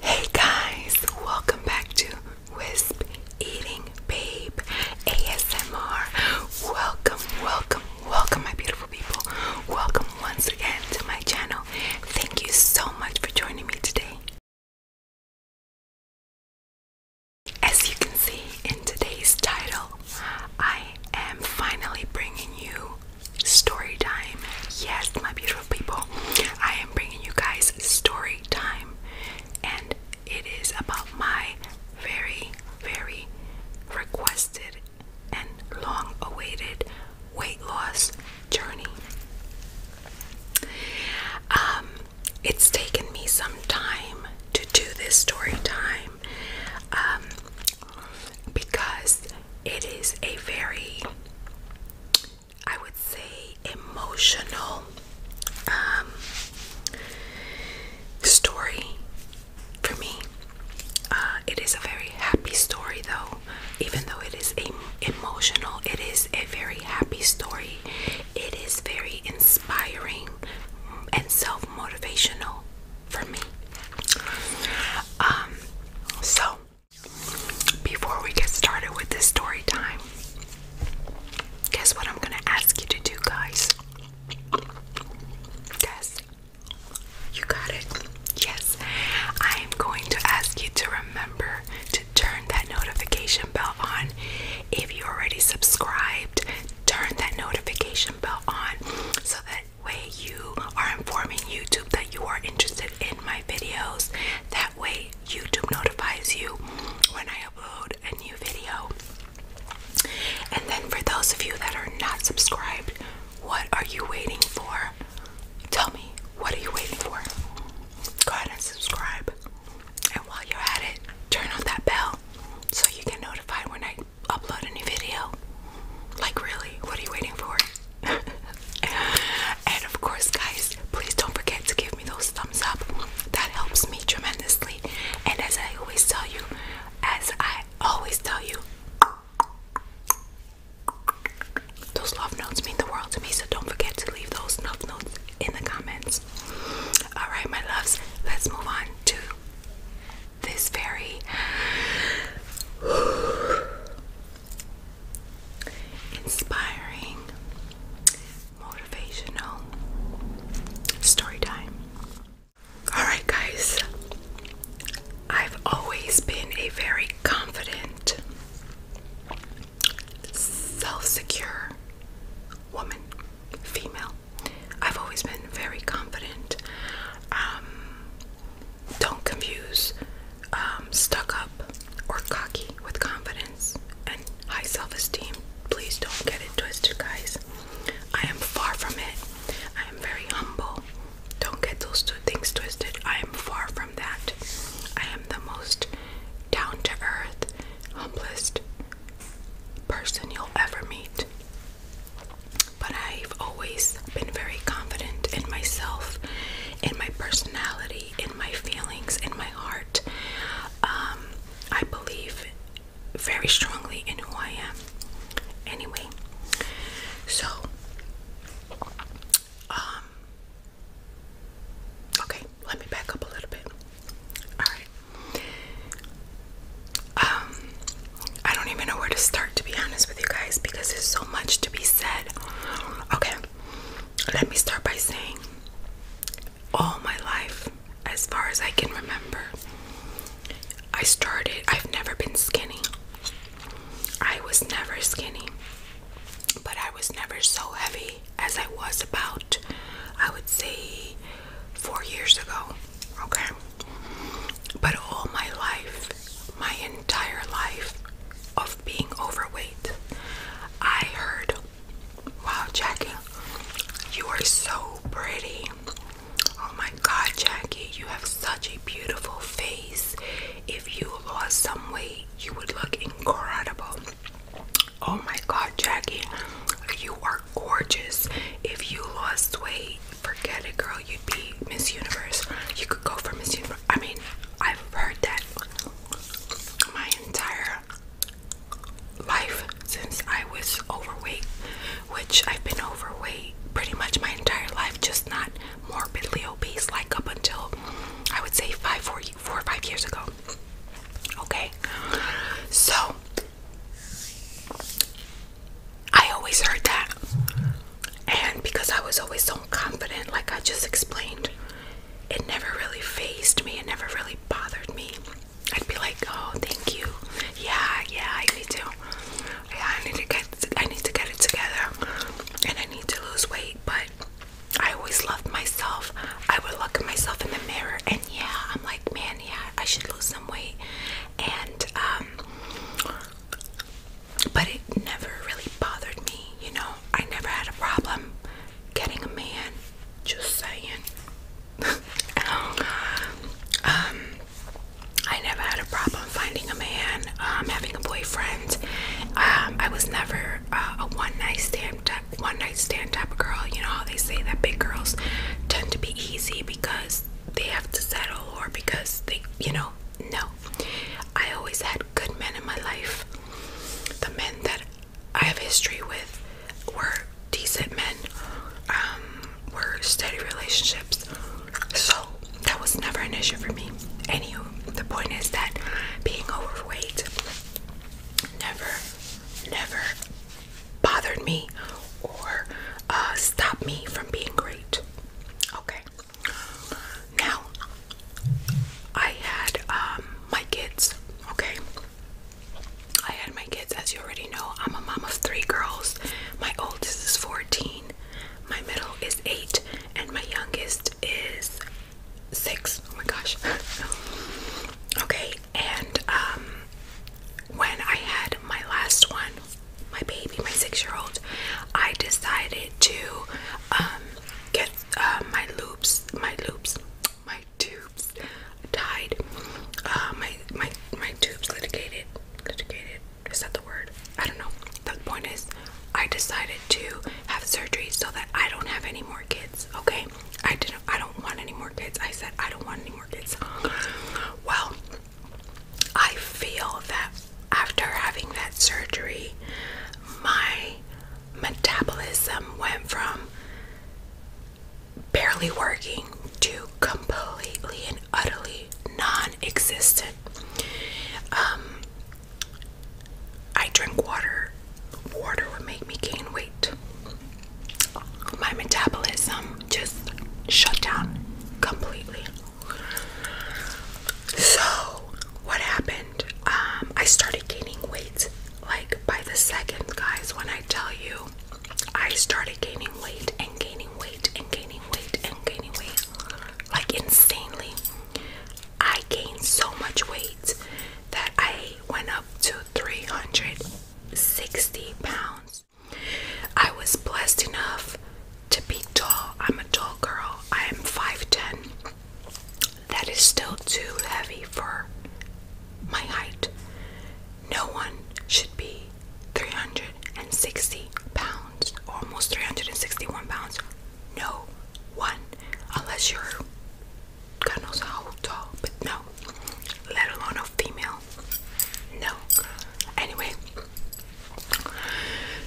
Hey guys, welcome back to Wisp Eating Babe ASMR. Welcome, welcome, welcome, my beautiful people. Welcome once again to my channel. Thank you so much for joining me today. As you can see in today's title, I am finally bringing you story time. Yes, my beautiful people, I am bringing you guys story time, and it is about my very, very requested and long awaited weight loss journey. Um, it's taken me some time to do this story time um, because it is a very I would say, emotional um, story for me. Uh, it is a very happy story, though. Even though it is a, emotional, it is a very happy story. It is very inspiring and self motivational for me. Um, so before we get started with this story time, guess what I'm gonna ask you to do, guys? Guess. You got it. Yes. I am going to ask you to remember to turn that notification bell on. If you already subscribed, turn that notification bell on so that way you are informing YouTube that you are interested in my videos. That way YouTube notifies you when I upload a new video. And then for those of you that are not subscribed, what are you waiting for? Tell me, what are you waiting for? Go ahead and subscribe. And while you're at it, turn on that bell so you get notified when I upload a new video. Like, really, what are you waiting for? and of course, guys, please don't forget to give me those thumbs up. That helps me tremendously. And as I always tell you, as I always tell you, those love notes mean the world to me, so don't forget to leave those love notes in the comments. Alright, my loves, let's move on to this very inspiring, motivational story time. Alright, guys, I've always been a very confident, self secure woman, female. I've always been very confident. Um, don't confuse um, stuck up or cocky with confidence and high self esteem. Please don't get it twisted, guys. I am far from it. I am very humble. Don't get those two things twisted. I am far from that. I am the most down to earth, humblest person you'll ever meet. But I've always been very confident in myself, in my personality, in my feelings and my heart. Um, I believe very strongly in who I am. Anyway, so um, okay, let me back up a little bit. Alright. Um I don't even know where to start to be honest with you guys because there's so much to be said. Okay let me start by saying all my life, as far as I can remember, I started, I've never been skinny. I was never skinny, but I was never so heavy as I was about, I would say, four years ago. Okay? But all my life, my entire life, of being overweight. I heard, wow, Jackie, you are so pretty. Oh my God, Jackie, you have such a beautiful face. If you lost some weight, you would look incredible. Oh my God, Jackie, you are gorgeous. If you lost weight, forget it, girl, you'd be Miss Universe. You could go for Miss Universe. I mean, I've heard that my entire life since I was overweight, which I've been overweight pretty much my entire life, just not morbidly obese like up until I would say five, four, four or five years ago. Okay, so I always heard that, and because I was always so confident, like I just explained, it never really phased me, it never really bothered me. I'd be like, oh, thank you. Yeah, yeah, I need to. I need to get. I need to get it together, and I need to lose weight. But I always loved myself. I would look at myself in the mirror, and yeah, I'm like, man, yeah, I should lose some weight. And um, but it never really bothered me, you know. I never had a problem getting a man, just saying. um, I never had a problem finding a man, um, having a boyfriend. Um, I was never uh, a one night stand type, one night stand type of girl. You know how they say that big girls tend to be easy because they have to settle or because they, you know, no, I always had good men in my life. The men that I have history with were decent men, um, were steady relationships. So that was never an issue for me. Anywho, the point is that being overweight never, never bothered me or uh, stopped me from being great. Okay. Now, I had um, my kids, okay? I had my kids, as you already know. I'm a mom of three girls. My oldest is 14, my middle is 8, and my youngest is 6. Oh my gosh. okay, and um, when I had my last one, my baby, my six year old, I decided to um, get uh, my loops, my loops, my tubes died. Uh, my my my tubes litigated, litigated. Is that the word? I don't know. The point is, I decided to have surgery so that I don't have any more kids. Okay, I didn't. I don't want any more kids. I said I don't want any more kids. Well, I feel that after having that surgery, my metabolism went from barely working to completely and utterly non existent. Um, I drink water, water would make me gain weight. My metabolism just shut down completely. So, what happened? Um, I started gaining weight like by the second, guys. When I tell you, I started gaining weight and gaining weight and gaining weight and gaining weight like insanely. I gained so much weight that I went up to 360 pounds. I was blessed enough to be tall. I'm a tall girl. I am 5'10. That is still too heavy for my height. No one should be 360 pounds, almost 361 pounds. No one, unless you're God knows how tall, but no, let alone a female. No. Anyway,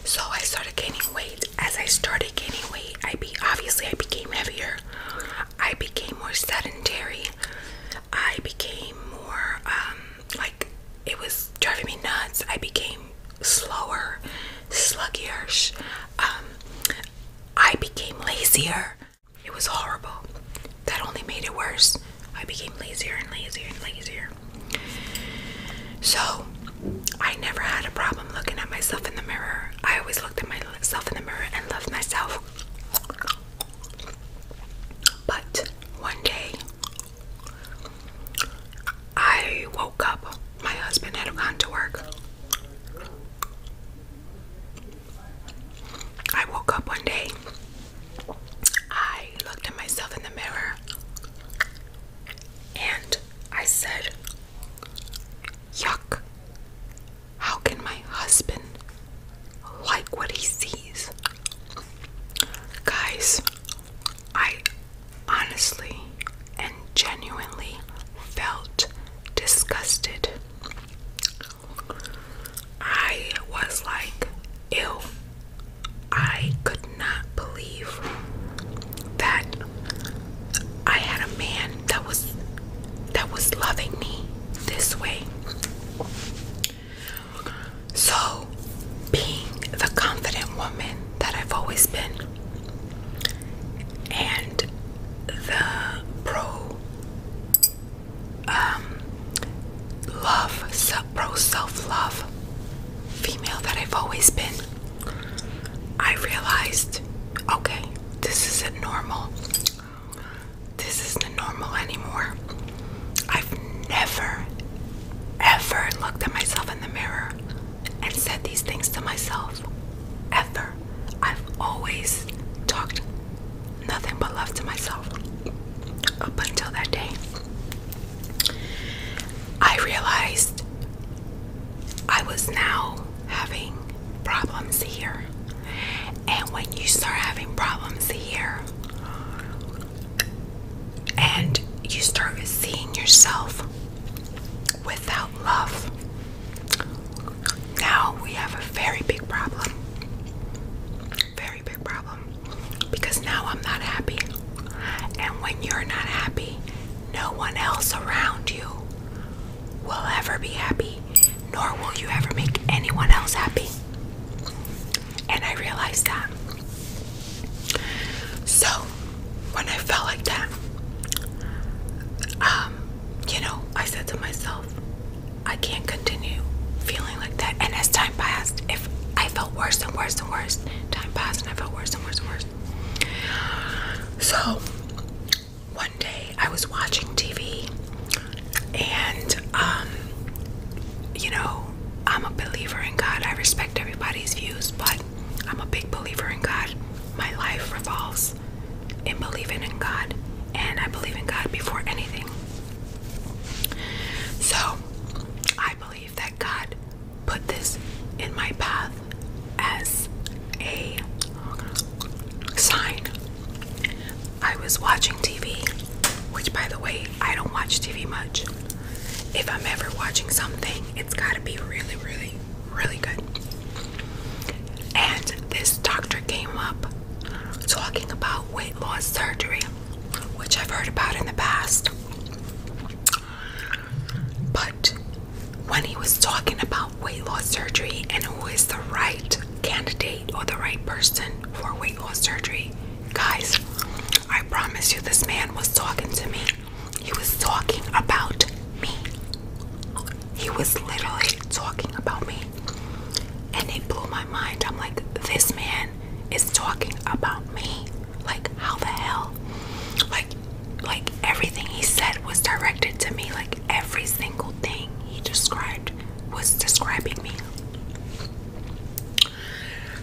so I started gaining weight as I started gaining weight, I be obviously I became heavier. I became more sedentary. I became more um, like it was driving me nuts. I became slower, sluggish. Um, I became lazier. It was horrible. That only made it worse. I became lazier and lazier and lazier. So I never had a problem looking at myself in the mirror. I always looked at myself in the mirror and loved myself. But one day, I woke up. My husband had gone to work. I woke up one day. I looked at myself in the mirror and I said, Yuck. How can my husband like what he sees? Guys, I honestly and genuinely felt disgusted. I was like, ew, I could not believe that I had a man that was that was loving me this way. So, being the confident woman that I've always been and the pro um love, pro self-love female that I've always been I realized okay, this isn't normal. This isn't normal anymore. I've never, ever looked at myself in the mirror and said these things to myself. Ever. I've always talked nothing but love to myself up until that day. I realized I was now having problems here. And when you start having problems here, and you start seeing yourself without love, now we have a very big problem. Very big problem. Because now I'm not happy. And when you're not happy, no one else around you will ever be happy, nor will you ever make anyone else happy. And I realized that. So, when I felt like that, um, you know, I said to myself, I can't continue feeling like that. And as time passed, if I felt worse and worse and worse, time passed and I felt worse and worse and worse. So one day I was watching TV and um, you know I'm a believer in God. I respect everybody's views, but I'm a big believer in God. My life revolves in believing in God, and I believe in God before anything. So I believe that God put this in my path as a sign. I was watching TV, which, by the way, I don't watch TV much. If I'm ever watching something, it's got to be really, really, really good. And this doctor came up talking about weight loss surgery, which I've heard about in the past. But when he was talking about weight loss surgery and who is the right candidate or the right person for weight loss surgery, guys, I promise you, this man was talking to me. He was talking about me. He was literally talking about me. And it blew my mind. I'm like, this man is talking about me. Like, how the hell? Like, like everything he said was directed to me. Like every single thing he described was describing me.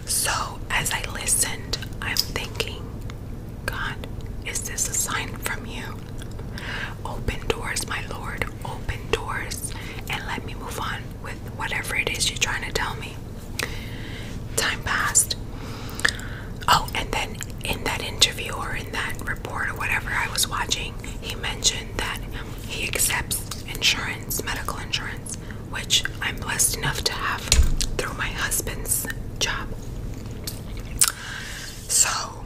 So as I listened, I'm thinking, God, is this a sign from you? Open doors, my Lord, open doors, and let me move on with whatever it is you're trying to tell me. Time passed. Oh, and then in that interview or in that report or whatever I was watching, he mentioned that he accepts insurance, medical insurance, which I'm blessed enough to have through my husband's job. So,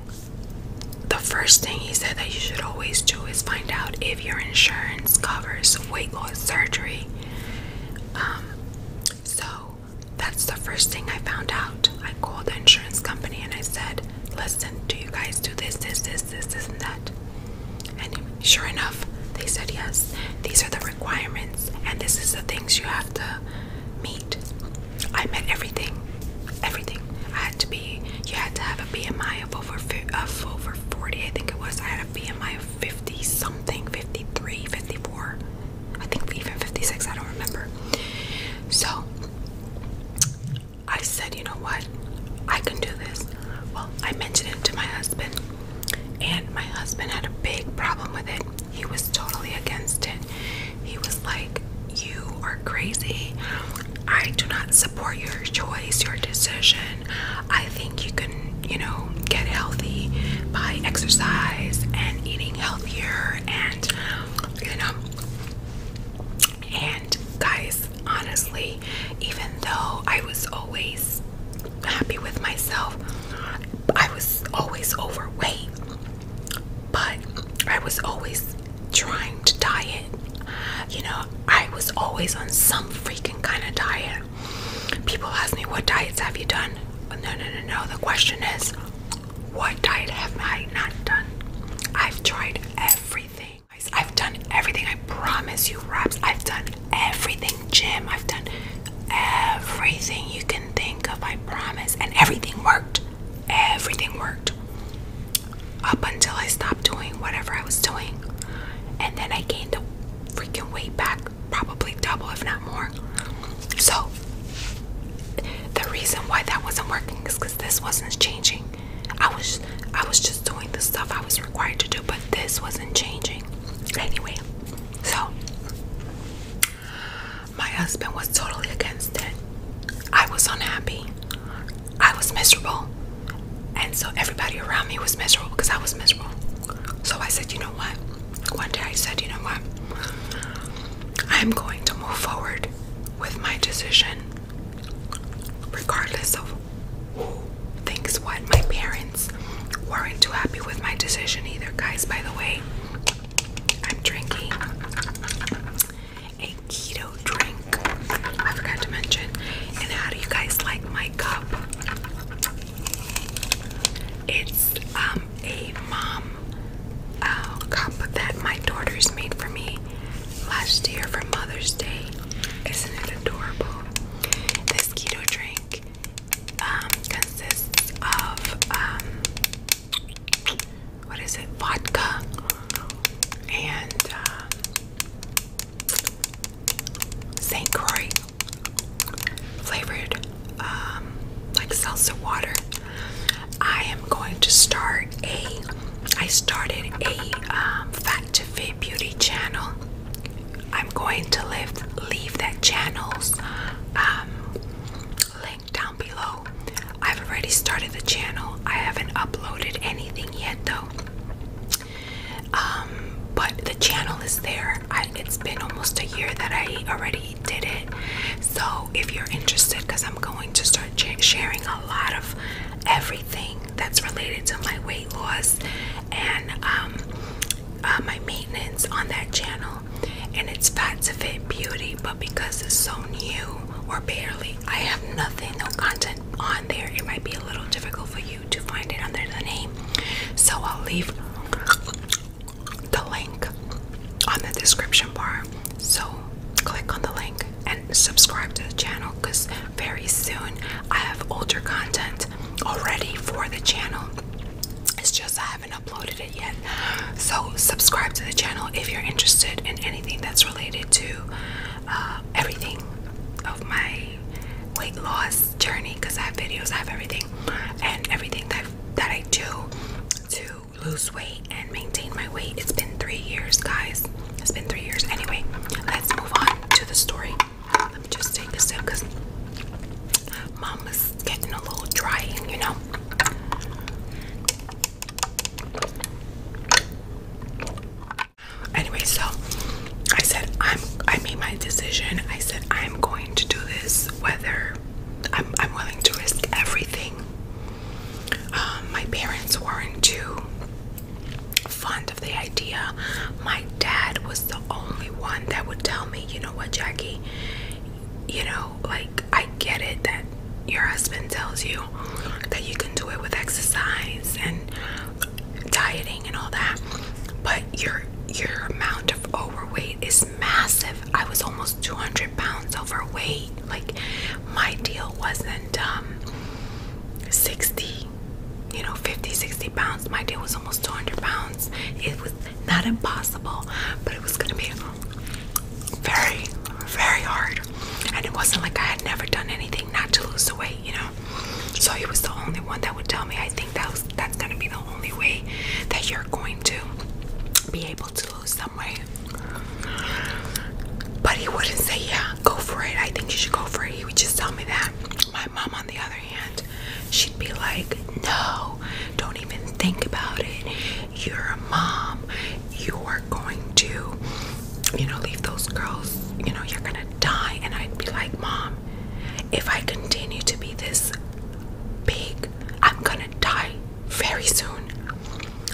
the first thing he said that you should always do is find out if your insurance covers weight loss surgery. Um, so, that's the first thing I found out. I called the insurance company and I said, Listen, do you guys do this, this, this, this, and that? And sure enough, they said yes. These are the requirements, and this is the things you have to meet. I met everything. Everything. I had to be, you had to have a BMI of over, of over 40, I think it was. I had a BMI of 50 something, 53, 54. I think even 56, I don't remember. So I said, you know what? I can do this. Well, I mentioned it to my husband, and my husband had a big problem with it. He was totally against it. He was like, You are crazy. I do not support your choice, your decision. I think you can." you know, get healthy by exercise and eating healthier and, you know. And guys, honestly, even though I was always happy with myself, I was always overweight, but I was always trying to diet. You know, I was always on some freaking kind of diet. People ask me, what diets have you done? no, no, no, no. The question is, what diet have I not done? I've tried everything. I've done everything. I promise you, Raps. I've done everything. Jim. I've done everything you can think of. I promise. And everything worked. Everything worked. Up until I stopped doing whatever I was doing. And then I gained the freaking weight back probably double, if not more. So, the reason why that wasn't working is because this wasn't changing. I was, I was just doing the stuff I was required to do, but this wasn't changing. Anyway, so my husband was totally against it. I was unhappy. I was miserable. And so everybody around me was miserable because I was miserable. So I said, you know what? one day I said, you know what? I'm going to move forward with my decision, regardless of who thinks what. My parents weren't too happy with my decision either, guys. By the way, I'm drinking a keto drink. I forgot to mention. And how do you guys like my cup? It's um, a mom uh, cup that my daughters made for me last year for Mother's Day. Isn't it adorable? This keto drink um, consists of um, what is it? Vodka and uh, St. Croix flavored um, like salsa water. I am going to start a. I started a um, fat to fit beauty channel. I'm going to leave that channel's um, link down below. I've already started the channel. I haven't uploaded anything yet though. Um, but the channel is there it's been almost a year that I already did it. So if you're interested, because I'm going to start sharing a lot of everything that's related to my weight loss and um, uh, my maintenance on that channel. And it's Fat to Fit Beauty, but because it's so new or barely, I have nothing, no content on there. It might be a little difficult for you to find it under the name. So I'll leave the link on the description bar. So click on the link and subscribe to the channel because very soon I have older content already for the channel. It's just I haven't uploaded it yet. So subscribe to the channel if you're interested in anything that's related to uh, everything of my weight loss journey because I have videos, I have everything, and everything that that I do to lose weight and maintain my weight. It's been three years, guys. It's been three years. Anyway, let's move on to the story. Let me just take a sip because mama's getting a little drying, you know. Anyway, so I said I'm I made my decision. I said I I'm going to do this whether I'm, willing to risk everything. Um, my parents weren't too fond of the idea. My dad was the only one that would tell me, you know what, Jackie, you know, like I get it that your husband tells you that you can do it with exercise and dieting and all that, but your your amount of overweight weight is massive. I was almost 200 pounds overweight. Like, my deal wasn't um, 60, you know, 50, 60 pounds. My deal was almost 200 pounds. It was not impossible, but it was going to be very, very hard. And it wasn't like I had never done anything not to lose the weight, you know. So he was the only one that would tell me, I think that's that's gonna be the only way that you're going to be able to lose some weight. But he wouldn't say, yeah, go for it. I think you should go for it. He would just tell me that. My mom, on the other hand, she'd be like, no, don't even think about it. You're a mom. You are going to, you know, leave those girls. You know, you're gonna die. And I'd be like, mom, if I continue to be this big. I'm gonna die very soon.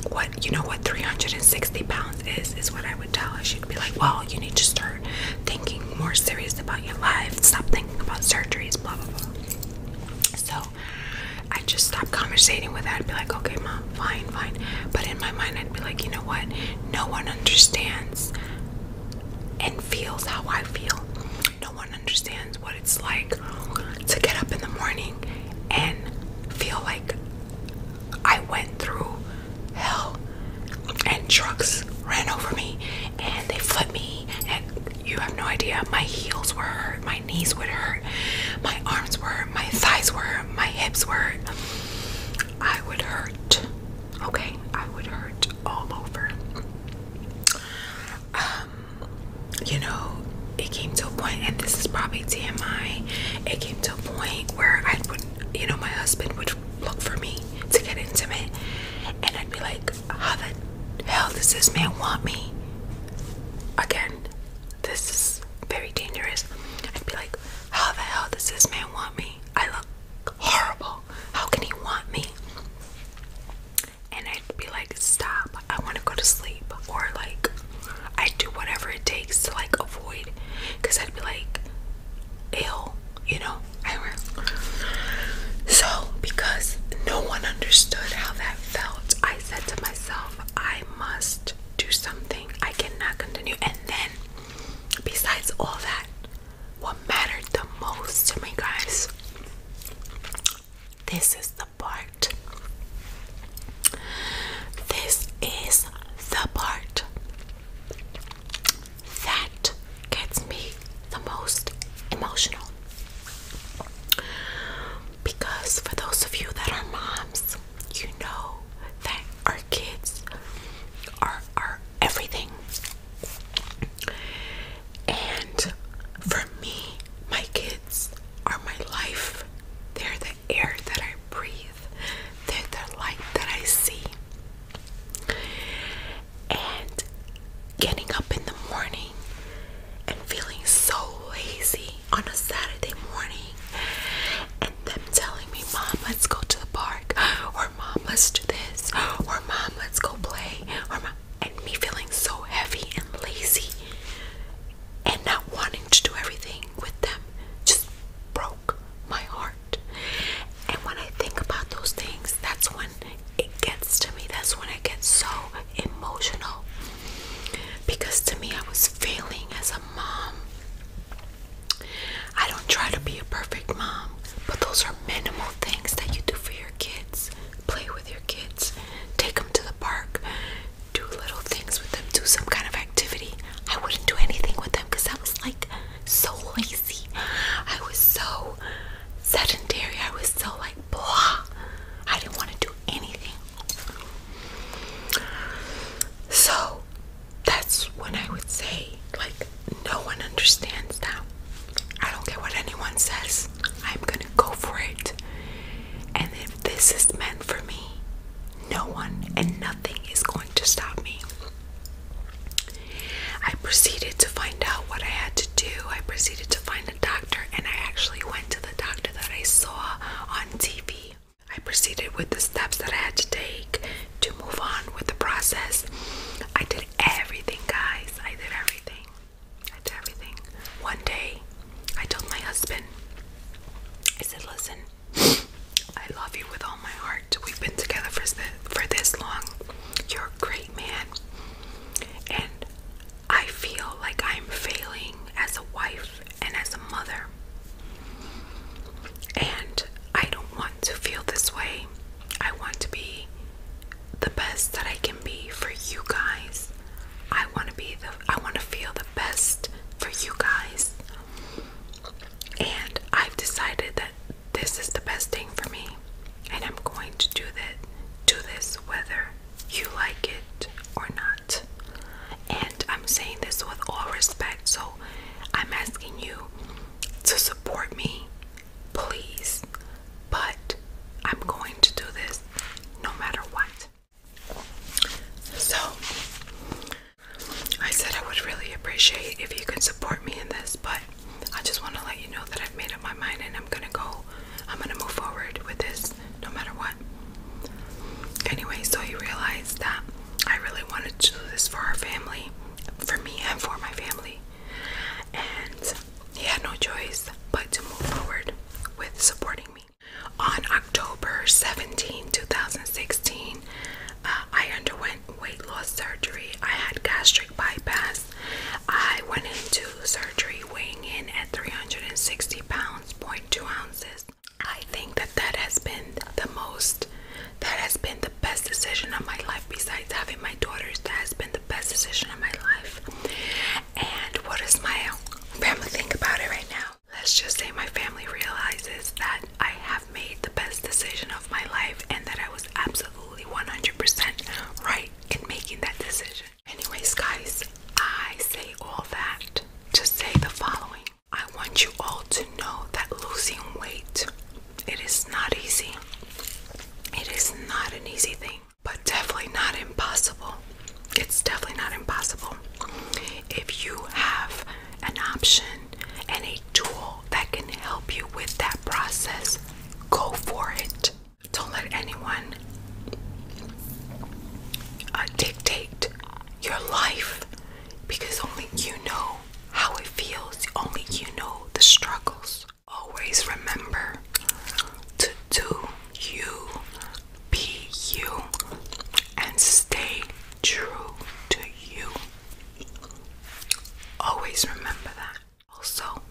What you know what 360 pounds is is what I would tell her. She'd be like, Well, you need to start thinking more serious about your life, stop thinking about surgeries, blah blah blah. So I just stop conversating with her. I'd be like, okay, mom, fine, fine. But in my mind, I'd be like, you know what? No one understands and feels how I feel. No one understands what it's like to get up in the morning and feel like I went through hell and trucks ran over me and they flipped me and you have no idea. My heels were hurt, my knees would hurt, my arms were my thighs were my hips were I would hurt. Okay, I would hurt all over. Um, you know, it came to a point, and this is probably TMI. It came to a point where I would, you know, my husband would look for me to get intimate, and I'd be like, "How the hell does this man want me?" Again, this is very dangerous. I'd be like, "How the hell does this man want me? I look horrible. How can he want me?" and I'd be like, stop, I want to go to sleep, or like, i do whatever it takes to like avoid because I'd be like, ill, you know. I were so because no one understood how that felt, I said to myself, I must do something, I cannot continue. And then, besides all that, what mattered the most to me, guys. This is the part. This is the part that gets me the most emotional. Because for those of you that are moms, you know that our kids are our everything. And for me, my kids are my life. They're the air that I breathe, they're the light that I see. And getting up in the morning and feeling so lazy on a Saturday morning, and them telling me, Mom, let's go to the park, or Mom, let's do this, or Mom, let's go play, or Mom, and me feeling so heavy and lazy and not wanting to do everything with them just broke my heart. And when I think about those things, that's when it gets to me. That's when it gets so emotional. Because to me, I was failing as a mom. I don't try to be a perfect mom, but those are minimal things that you do for your kids play with your kids, take them to the park, do little things with them, do some kind of activity. I wouldn't do anything with them because I was like so lazy. I was so sedentary. I was so like blah. I didn't want to do anything. So that's when I would say, like, no one understands that. I don't care what anyone says. I'm gonna go for it. And if this is meant for me, no one and nothing is going to stop me. I proceeded to find out what I had to do. I proceeded to find a doctor, and I actually went to the doctor that I saw on TV. I proceeded with the steps that I had to take to move on with the process. I did everything, guys. I did everything. I did everything. One day, I told my husband, I said, listen, I love you with all my heart. We've been together for, for this long. You're a great man. And I feel like I'm failing as a wife and as a mother. And I don't want to feel this way. I want to be the best that I can be for you guys. I want to be the I want to feel the best for you guys. And I've decided that this is the best thing for me. And I'm going to do that do this whether you like it or not. And I'm saying this with all respect, so I'm asking you to support me, please but I'm going to do this no matter what. So, I said I would really appreciate if you could support me in this, but I just want to let you know that I've made up my mind and I'm going to go, I'm going to move forward with this no matter what. Anyway, so you realize that I really wanted to do this for our family, for me and for my family. And he had no choice but to move forward with supporting me. On October 17, 2016, uh, I underwent weight loss surgery. I had gastric bypass. I went into surgery weighing in at 360 pounds, point two ounces. I think that that has been the most, that has been the best decision of my life besides having my daughters. That has been the best decision of my life. And what does my family think about it right now? Let's just say my family realizes that I have made the best decision of my life and that I was absolutely 100% right in making that decision. Anyways, guys, I say all that to say the following I want you all to know that losing weight it is not easy. It is not an easy thing, but definitely not impossible. It's definitely not impossible. If you have an option and a tool that can help you with that process, go for it. Don't let anyone uh, dictate your life because only you know how it feels, only you know the struggles always remember to do you, be you, and stay true to you. Always remember that. Also,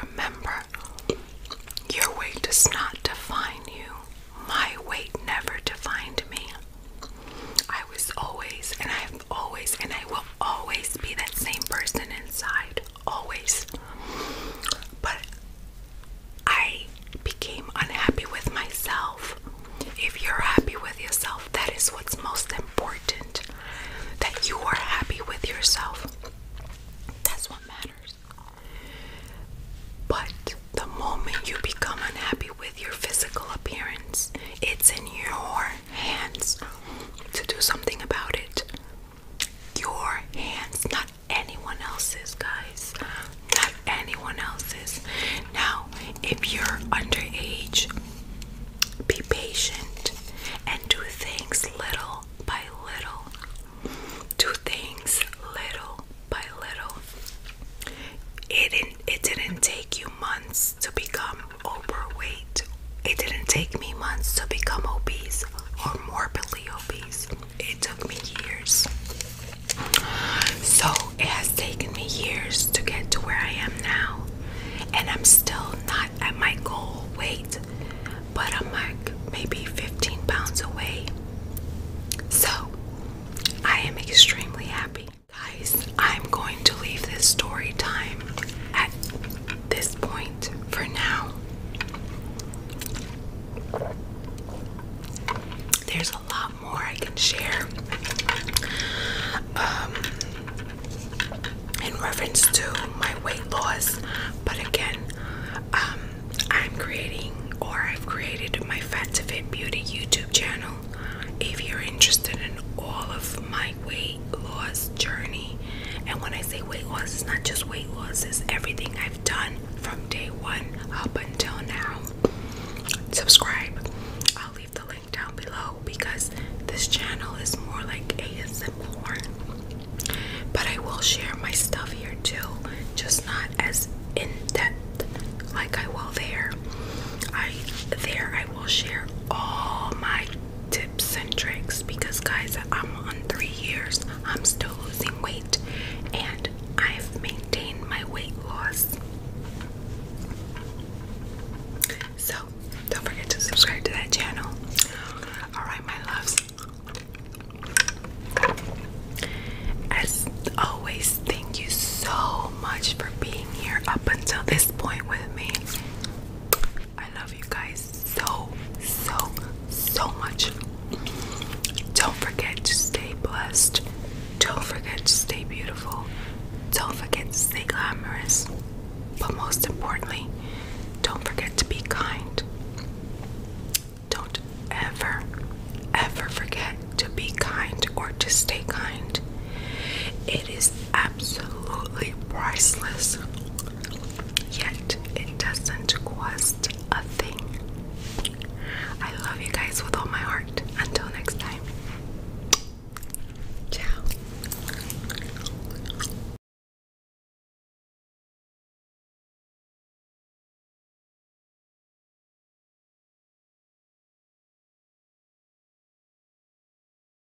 remember your weight does not define you. My weight never defined me. I was always, and I always and I will always be that same person inside, always. But I became unhappy with myself. If you're happy with yourself, that is what's most important. That you are happy with yourself. That's what matters. But the moment you become unhappy with your physical appearance, it's in your hands um, to do something about it. Your hands, not anyone else's, guys. Not anyone else's. Now, if you're underage, be patient and do things little by little. Do things little by little. It didn't, it didn't take you months to become overweight. It didn't take me months to become obese or morbidly obese. It took me years. So it has taken me years to get to where I am now. And I'm still not at my goal weight, but I'm like maybe 15 pounds away. So I am extremely happy. Guys, I'm going to leave this story time at this point for now. There's a lot more I can share um, in reference to my weight loss, but again, um, I'm creating or I've created my Fat to Fit Beauty YouTube channel. If you're interested in all of my weight loss journey. And when I say weight loss, it's not just weight loss, it's everything I've done from day one up until now. Subscribe. I'll leave the link down below because this channel is more like ASMR. But I will share my stuff here too, just not as in depth like I will there. I there I will share all my tips and tricks because guys I'm on three years I'm still losing weight and I've maintained my weight loss so don't forget to subscribe to that channel all right my loves as always thank you so much for being here up until this point with me I love you guys so, so, so much. Don't forget to stay blessed. Don't forget to stay beautiful. Don't forget to stay glamorous. But most importantly, don't forget to be kind. Don't ever, ever forget to be kind or to stay kind. It is absolutely priceless, yet it doesn't cost a thing. I love you guys with all my heart. Until next time, ciao.